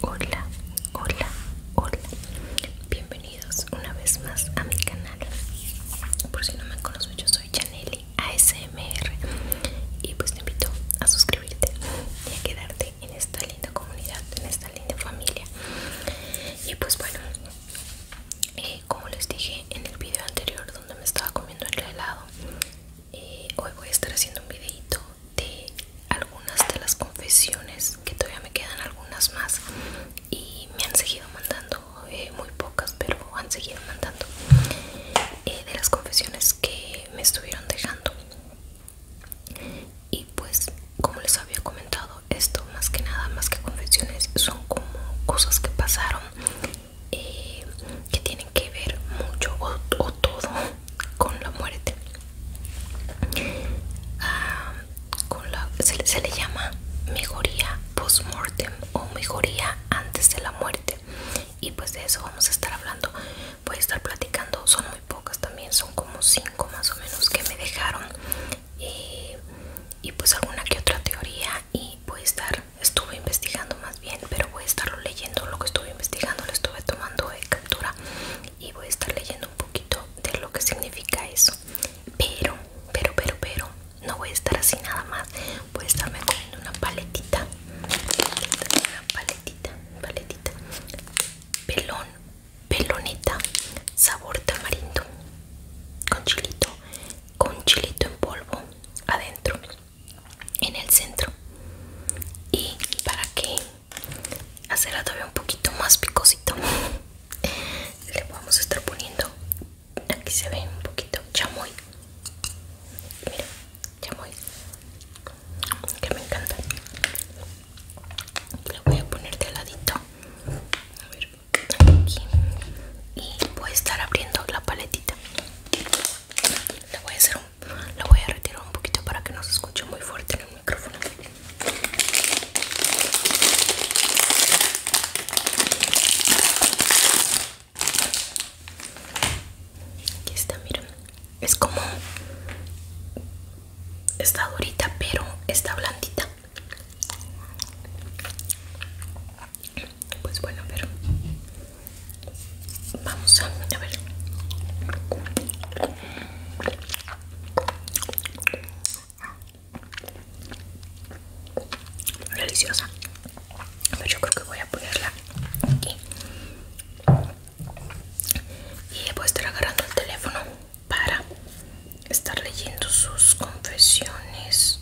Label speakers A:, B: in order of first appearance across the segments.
A: Hola, hola, hola. Bienvenidos una vez más a mi canal. Por si no me conozco yo soy Janelli ASMR y pues te invito a suscribirte y a quedarte en esta linda comunidad, en esta linda familia. Y pues bueno, eh, como les dije en el video anterior donde me estaba comiendo el helado, eh, hoy voy a estar haciendo un videito de algunas de las confesiones que todavía me quedan algunas más y me han seguido mandando eh, muy pocas pero han seguido mandando eh, de las confesiones que me estuvieron dejando y pues como les había comentado esto más que nada más que confesiones son como cosas que pasaron eh, que tienen que ver mucho o, todo con la muerte ah, con la, se, le llama mejoría post-mortem o mejoría antes de la muerte y pues de eso vamos a estar hablando voy a estar platicando son muy pocas también son como cinco más o menos que me dejaron eh, y, pues alguna que otra teoría y voy a estar estuve investigando más bien pero voy a estarlo leyendo lo que estuve investigando lo estuve tomando de captura y voy a estar leyendo un poquito de lo que significa eso pero pero pero pero no voy a estar así nada más voy a me comiendo una paletita una paletita paletita pelón peloneta sabor tamarindo con chilito con chilito en polvo adentro en el centro y para que hacerla todavía un poquito más picosito le vamos a estar poniendo aquí se ve un poquito chamoy mira chamoy que me encanta le voy a poner de ladito a ver, aquí y voy a estar abriendo la paletita le voy a hacer un la voy a retirar un poquito para que no se escuche muy fuerte en el micrófono. Aquí está, miren. Es como... Está durita, pero está blandita. Pues bueno, pero Vamos a, ver. Deliciosa. Pero yo creo que voy a ponerla aquí. Y voy a estar agarrando el teléfono para estar leyendo sus confesiones.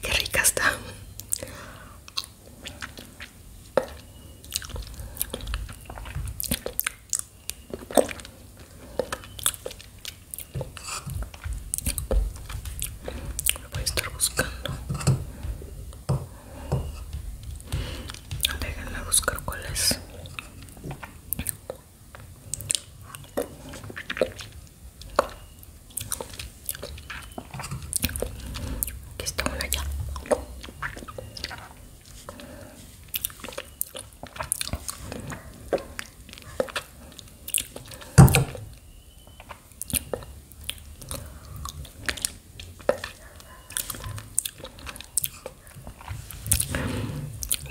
A: Qué rica está lo voy a estar buscando déjenme buscar cuál es aquí está una ya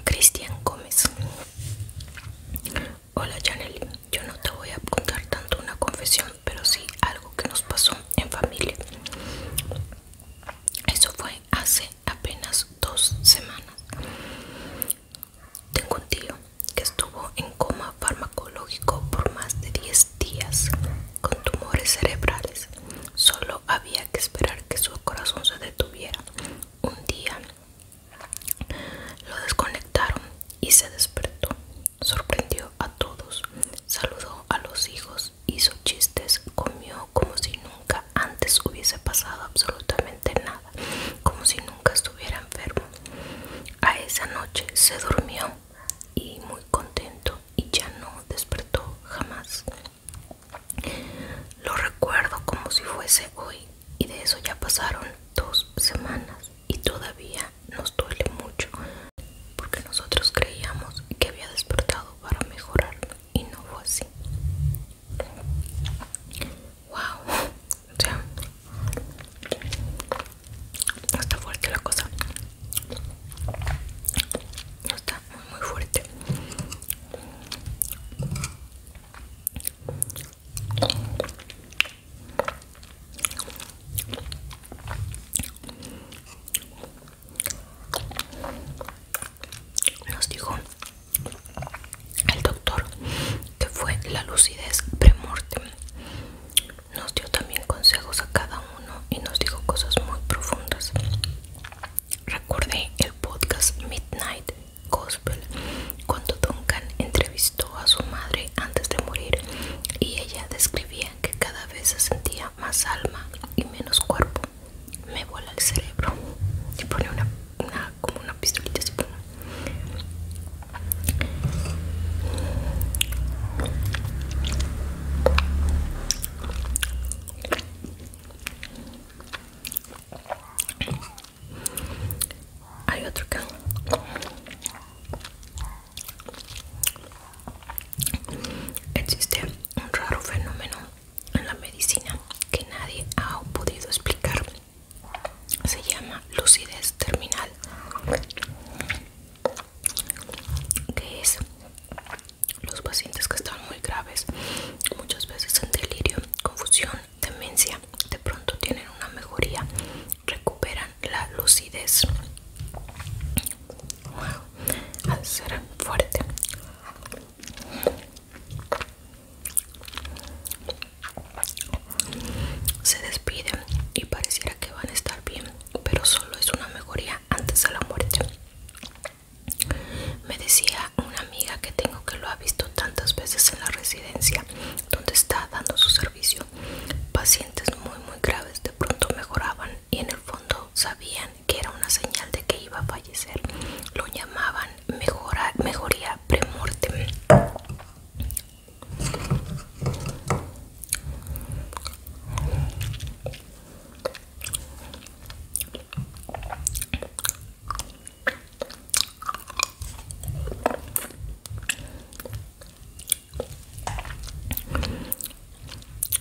A: Cristian Gómez Hola Janel, yo no te voy a contar tanto una confesión, pero sí algo que nos pasó en familia. Eso fue hace apenas dos semanas. Tengo un tío que estuvo en coma farmacológico por más de 10 días con tumores cerebrales. Solo había que esperar que su corazón se detuviera. Un día lo desconectaron y se despertó. Sorprendió a todos, saludó a los hijos, hizo chistes, comió como si nunca antes hubiese pasado absolutamente nada, como si nunca estuviera enfermo. A esa noche se durmió y muy contento y ya no despertó jamás. Lo recuerdo como si fuese hoy y de eso ya pasaron dos semanas y todavía nos duele mucho porque nosotros creíamos que había despertado para mejorar y no fue así. Wow, o sea, no está fuerte la cosa. No está muy, fuerte. Nos dijo el doctor que fue la lucidez pre-morte Nos dio también consejos a cada uno y nos dijo cosas muy profundas. Recordé el podcast Midnight Gospel cuando Duncan entrevistó a su madre antes de morir y ella describía que cada vez se sentía más alma y menos cuerpo. Me vuela el cerebro y pone una, una como una pistolita así. Hay otro caso. Existe un raro fenómeno en la medicina que nadie ha podido explicar se llama lucidez terminal que es los pacientes que están muy graves muchas veces en delirio confusión demencia de pronto tienen una mejoría recuperan la lucidez al ser fuerte se despiden y pareciera que van a estar bien, pero solo es una mejoría antes de la muerte. Me decía una amiga que tengo que lo ha visto tantas veces en la residencia donde está dando su servicio. Pacientes muy muy graves de pronto mejoraban y en el fondo sabían que era una señal de que iba a fallecer. Lo llamaban mejora, mejoría premortem.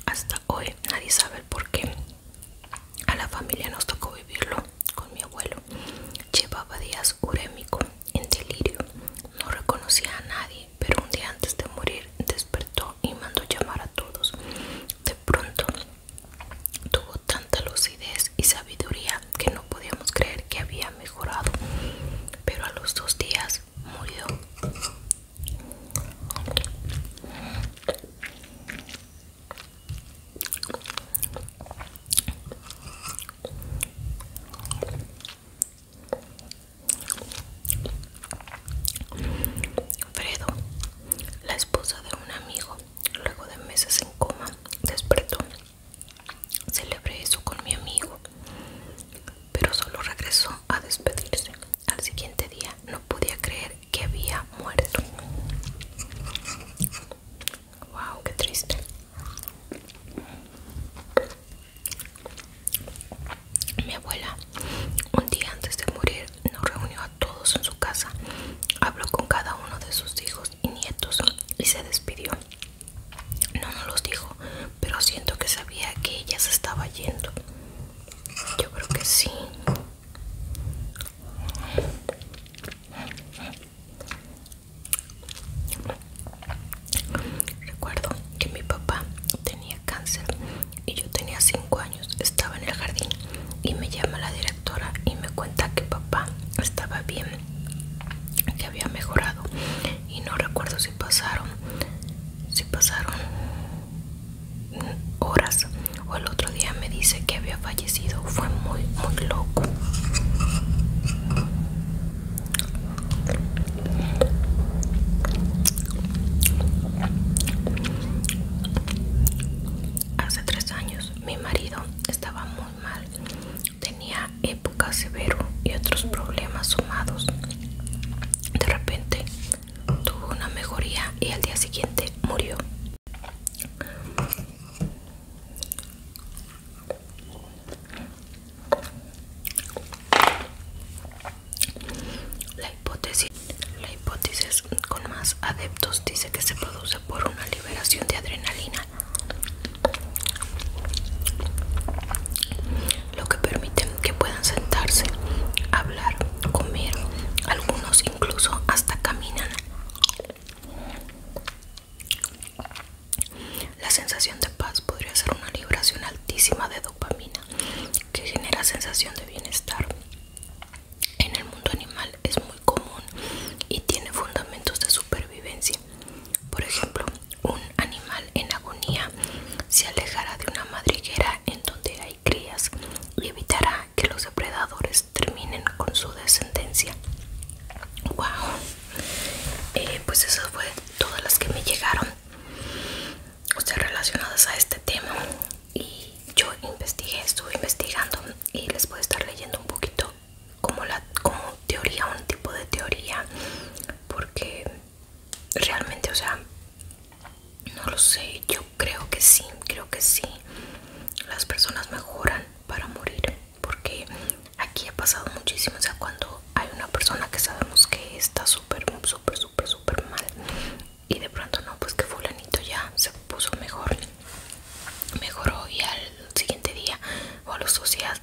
A: Hasta hoy nadie sabe el por qué a la familia nos tocó vivirlo con mi abuelo. Llevaba días uremico en delirio. No reconocía a nadie, pero un día antes de morir despertó y mandó llamar a todos. De pronto tuvo tanta lucidez y sabiduría que no podíamos creer que había mejorado. Pero a los dos días murió. Fredo, la esposa de un amigo, luego de meses en coma, despertó. Celebré eso con mi amigo, pero solo regresó a despedirse. Al siguiente día no podía creer que había muerto. Wow, qué triste. Mi abuela, un día antes de morir, nos reunió a todos en su casa, habló con cada uno de sus hijos y nietos y se despidió. No nos los dijo, pero siento que sabía que ella se estaba yendo. Yo creo que sí. Recuerdo que mi papá tenía cáncer y yo tenía 5 años, estaba en el jardín y me llama la directora y me cuenta que papá estaba bien, que había mejorado y no recuerdo si pasaron, si pasaron horas o el otro día me dice que había fallecido, fue muy, muy loco. Hace tres años mi marido estaba muy mal. Tenía época severo y otros problemas sumados. De repente tuvo una mejoría y al día siguiente murió. La hipótesis, la hipótesis con más adeptos dice que se produce por una liberación de adrenalina, lo que permite que puedan sentarse, hablar, comer, algunos incluso hasta caminan. La sensación de paz podría ser una liberación altísima de dopamina que genera sensación de bienestar. En el mundo animal es muy común y tiene fundamentos de supervivencia. Por ejemplo, un animal en agonía se alejará de una madriguera en donde hay crías y evitará que los depredadores terminen con su descendencia. ¡Wow! Eh, pues esas fue todas las que me llegaron o sea relacionadas a este tema y yo investigué estuve investigando y les voy a estar leyendo un poquito como la como teoría un tipo de teoría porque realmente o sea no lo sé yo creo que sí creo que sí las personas mejoran para morir porque aquí ha pasado muchísimo, o sea, cuando hay una persona que sabemos que está súper, súper, súper, súper mal y de pronto no, pues que fulanito ya se puso mejor, mejoró y al siguiente día o a los dos días,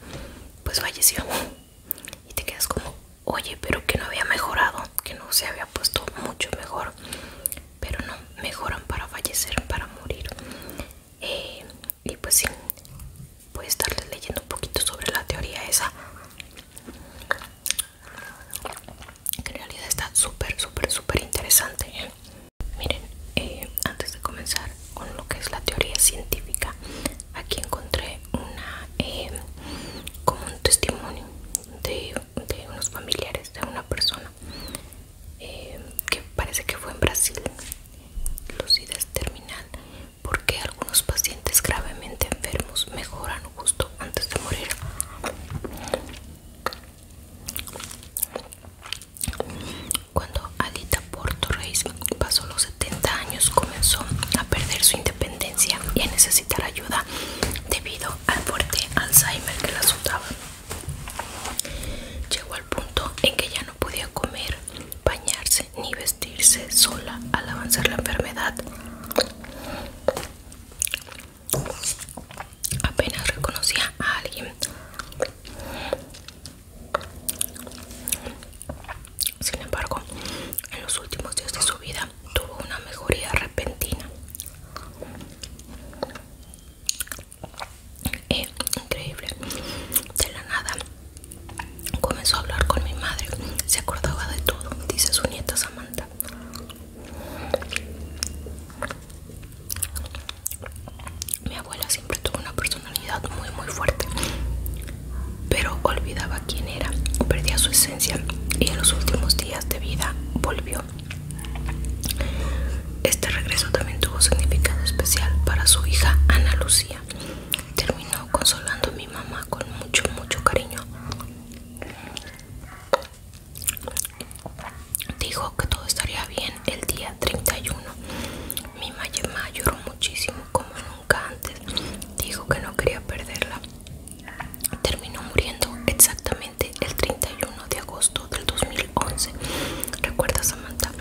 A: pues falleció y te quedas como, oye, pero que no había mejorado, que no se había puesto mucho mejor, pero no, mejoran para fallecer, para morir. Eh, y pues sí voy a estarles leyendo un poquito sobre la teoría esa que en realidad está súper súper súper interesante ¿eh? miren eh, antes de comenzar con lo que es la teoría científica aquí encontré una em, como un testimonio de, unos familiares de una persona em, que parece que fue en Brasil lucidez terminal, porque algunos pacientes gravemente enfermos mejoran justo antes de morir. Cuando Alita Porto Reis pasó los 70 años, comenzó a perder su independencia y a necesitar ayuda debido al fuerte Alzheimer que la azotaba. Llegó al punto en que ya no podía comer, bañarse ni vestirse sola al avanzar la enfermedad. Apenas reconocía a alguien. Sin embargo, en los últimos días de su vida tuvo una mejoría repentina. Eh, increíble de la nada comenzó a hablar con mi madre se acordaba de todo dice su nieta Samantha mi abuela siempre tuvo una personalidad muy muy fuerte pero olvidaba quién era perdía su esencia y en los últimos días de vida volvió este regreso también tuvo significado especial para su hija Ana Lucía. Terminó consolando a mi mamá con mucho, mucho cariño. Dijo que todo estaría bien el día 31. Mi mamá lloró muchísimo como nunca antes. Dijo que no quería perderla. Terminó muriendo exactamente el 31 de agosto del 2011. Recuerda Samantha?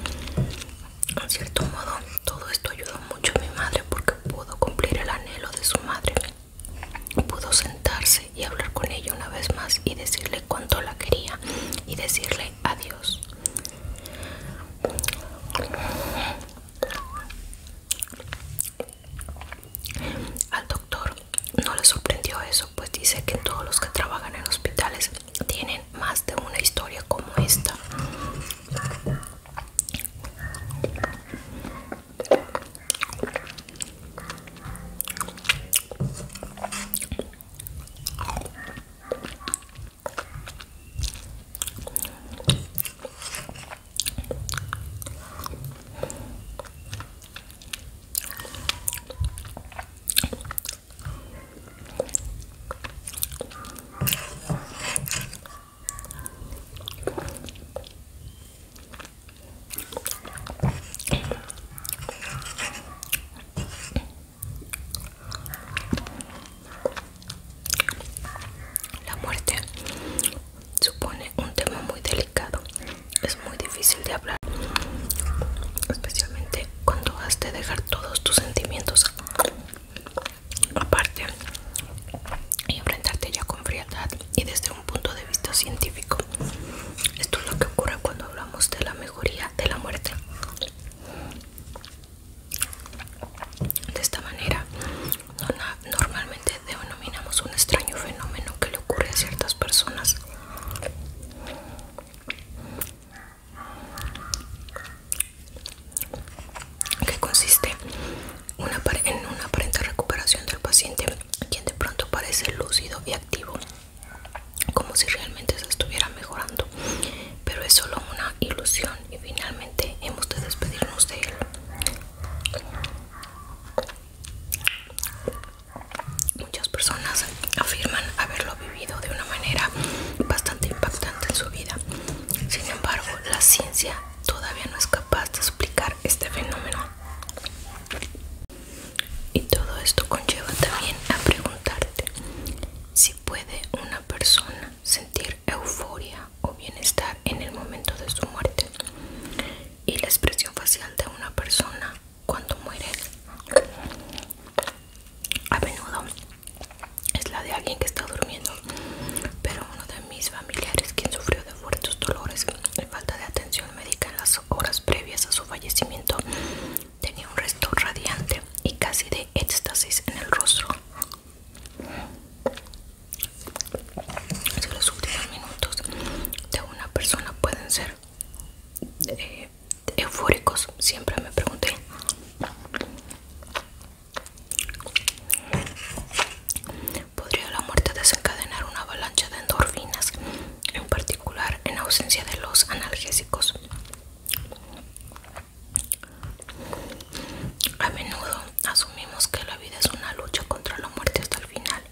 A: En cierto modo, todo esto ayudó mucho a mi madre porque pudo cumplir el anhelo de su madre. Pudo sentarse y hablar con ella una vez más y decirle cuánto la quería y decirle adiós. Al doctor no le sorprendió eso, pues dice que todos los que trabajan en hospitales tienen más de una historia como esta la muerte supone un tema muy delicado, es muy difícil de hablar, especialmente cuando has de dejar todos tus sentimientos aparte y enfrentarte ya con frialdad y desde un punto de vista científico. Esto es lo que ocurre cuando hablamos de la mejoría de la muerte. De esta manera, normalmente denominamos un extraño fenómeno que le ocurre a ciertas personas que consiste en una aparente recuperación del paciente, quien de pronto parece lúcido y activo, como si realmente se estuviera mejorando, pero es solo una ilusión y finalmente hemos de despedirnos de él. Muchas personas afirman haberlo vivido de una manera bastante impactante en su vida. Sin embargo, la ciencia todavía no es capaz de explicar este fenómeno. Y todo esto conlleva también a preguntarte si puede una persona sentir euforia o bienestar en el momento de su muerte. Y la expresión facial de una persona cuando mueres a menudo es la de alguien que está durmiendo pero uno de mis familiares quien sufrió de fuertes dolores y falta de atención médica en las horas previas a su fallecimiento tenía un resto radiante y casi de éxtasis en el rostro los últimos minutos de una persona pueden ser eh, eufóricos, siempre me pregunté. ¿Podría la muerte desencadenar una avalancha de endorfinas, en particular en ausencia de los analgésicos? A menudo asumimos que la vida es una lucha contra la muerte hasta el final,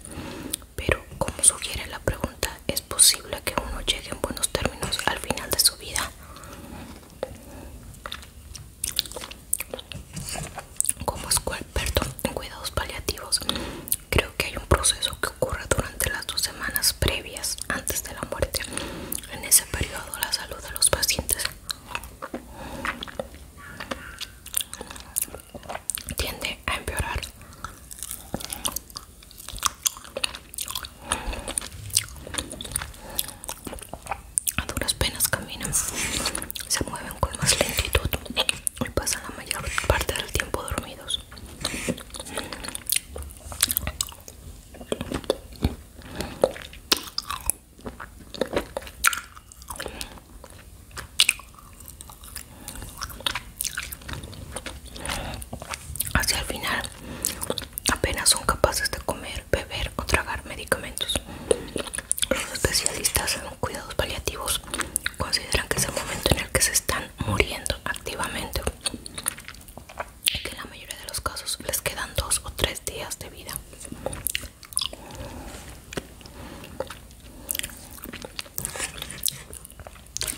A: pero como sugiere la pregunta, es posible que uno llegue en buenos términos al final de su vida. Como perdón, en cuidados paliativos, creo que hay un proceso que ocurre durante las dos semanas previas antes de la muerte. En ese periodo la salud de los pacientes tiende a empeorar a duras penas caminan, se mueven con más lentitud y pasan la mayor parte del tiempo dormidos. Hacia el final apenas son capaces de comer, beber o tragar medicamentos. Los especialistas en cuidados paliativos consideran que es el momento en el que se están muriendo activamente y que en la mayoría de los casos les quedan dos o tres días de vida.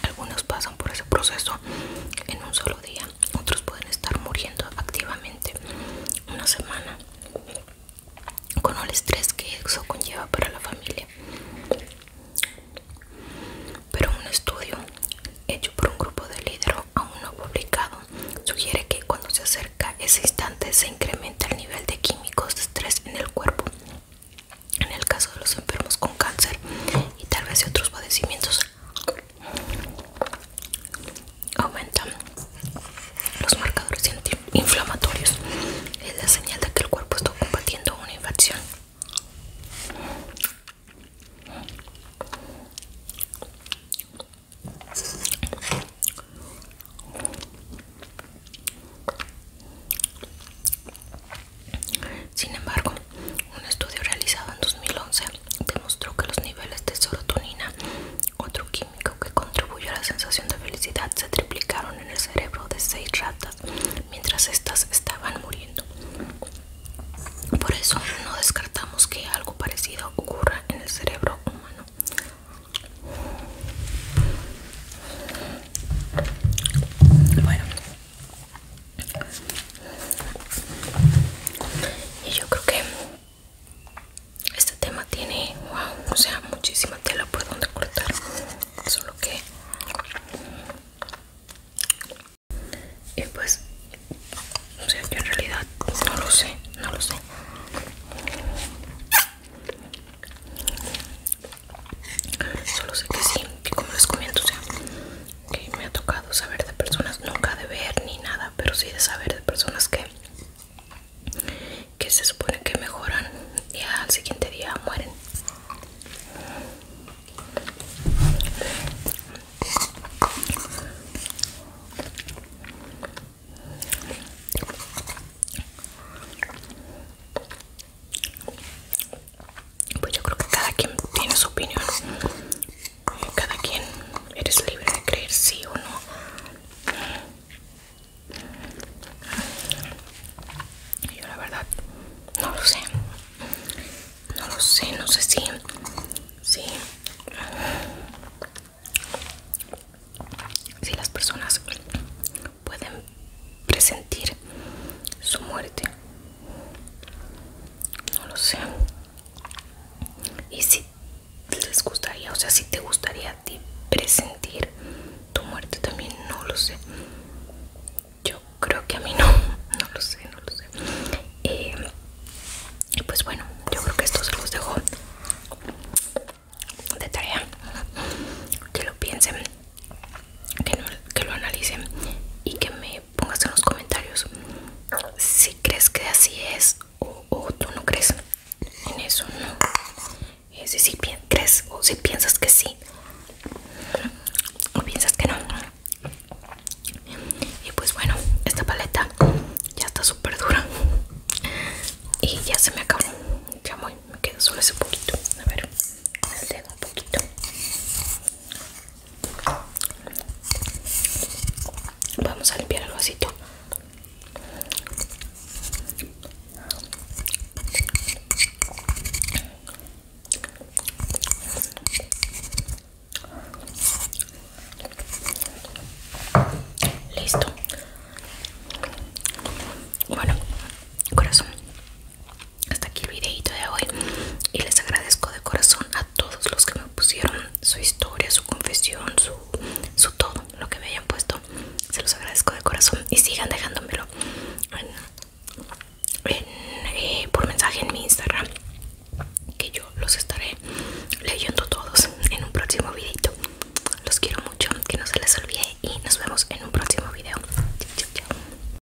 A: Algunos pasan por ese proceso en un solo día, otros pueden estar muriendo activamente una semana con el estrés que eso conlleva para la familia. Pero un estudio hecho por un grupo de líderes aún no publicado sugiere que cuando se acerca ese instante se incrementa el nivel de químicos de estrés en el cuerpo en el caso de los enfermos con cáncer y tal vez de otros padecimientos aumentan los marcadores inflamatorios es la señal de que el cuerpo está combatiendo una infección sin embargo, un estudio realizado en 2011 demostró que los niveles de serotonina, otro químico que contribuye a la sensación de felicidad, se triplicaron en el cerebro de seis ratas mientras estas estaban muriendo. Por eso no descartamos que algo parecido ocurra en el cerebro humano. Bueno, y yo creo que este tema tiene, wow, o sea, muchísima tela por donde cortar. Solo que... Y pues, o sea, yo en realidad no lo sé, no lo sé. Solo sé que sí, y como les comento, o sea, que me ha tocado saber de personas, nunca de ver ni nada, pero sí de saber de personas que, que se supone que mejoran y al siguiente día mueren. Pues yo creo que cada quien tiene su opinión. Cada quien eres libre de creer sí o no. Yo la verdad no lo sé. No lo sé, no sé si... Si, si las personas pueden presentir su muerte no lo sé y si les gustaría o sea si te gustaría a ti presentir tu muerte también no lo sé yo creo que a mí no no lo sé no lo sé y eh, pues bueno yo creo que esto se los dejo de tarea que lo piensen que lo analicen y que me Póngase en los comentarios si crees que así es o, tú no crees en eso, ¿no? Eh, si, crees o si piensas que sí o piensas que no. Y pues bueno, esta paleta ya está súper dura y ya se me acabó. Ya voy, me queda solo ese poquito. A ver, un poquito. Vamos a limpiar el vasito. Listo. Bueno, corazón hasta aquí el videito de hoy y les agradezco de corazón a todos los que me pusieron su historia, su confesión, su, todo, lo que me hayan puesto. Se los agradezco de corazón y sigan dejándomelo eh, por mensaje en mi Instagram, que yo los estaré leyendo todos en un próximo videito. Los quiero mucho, que no se les olvide y nos vemos en un próximo video. Chao, chao.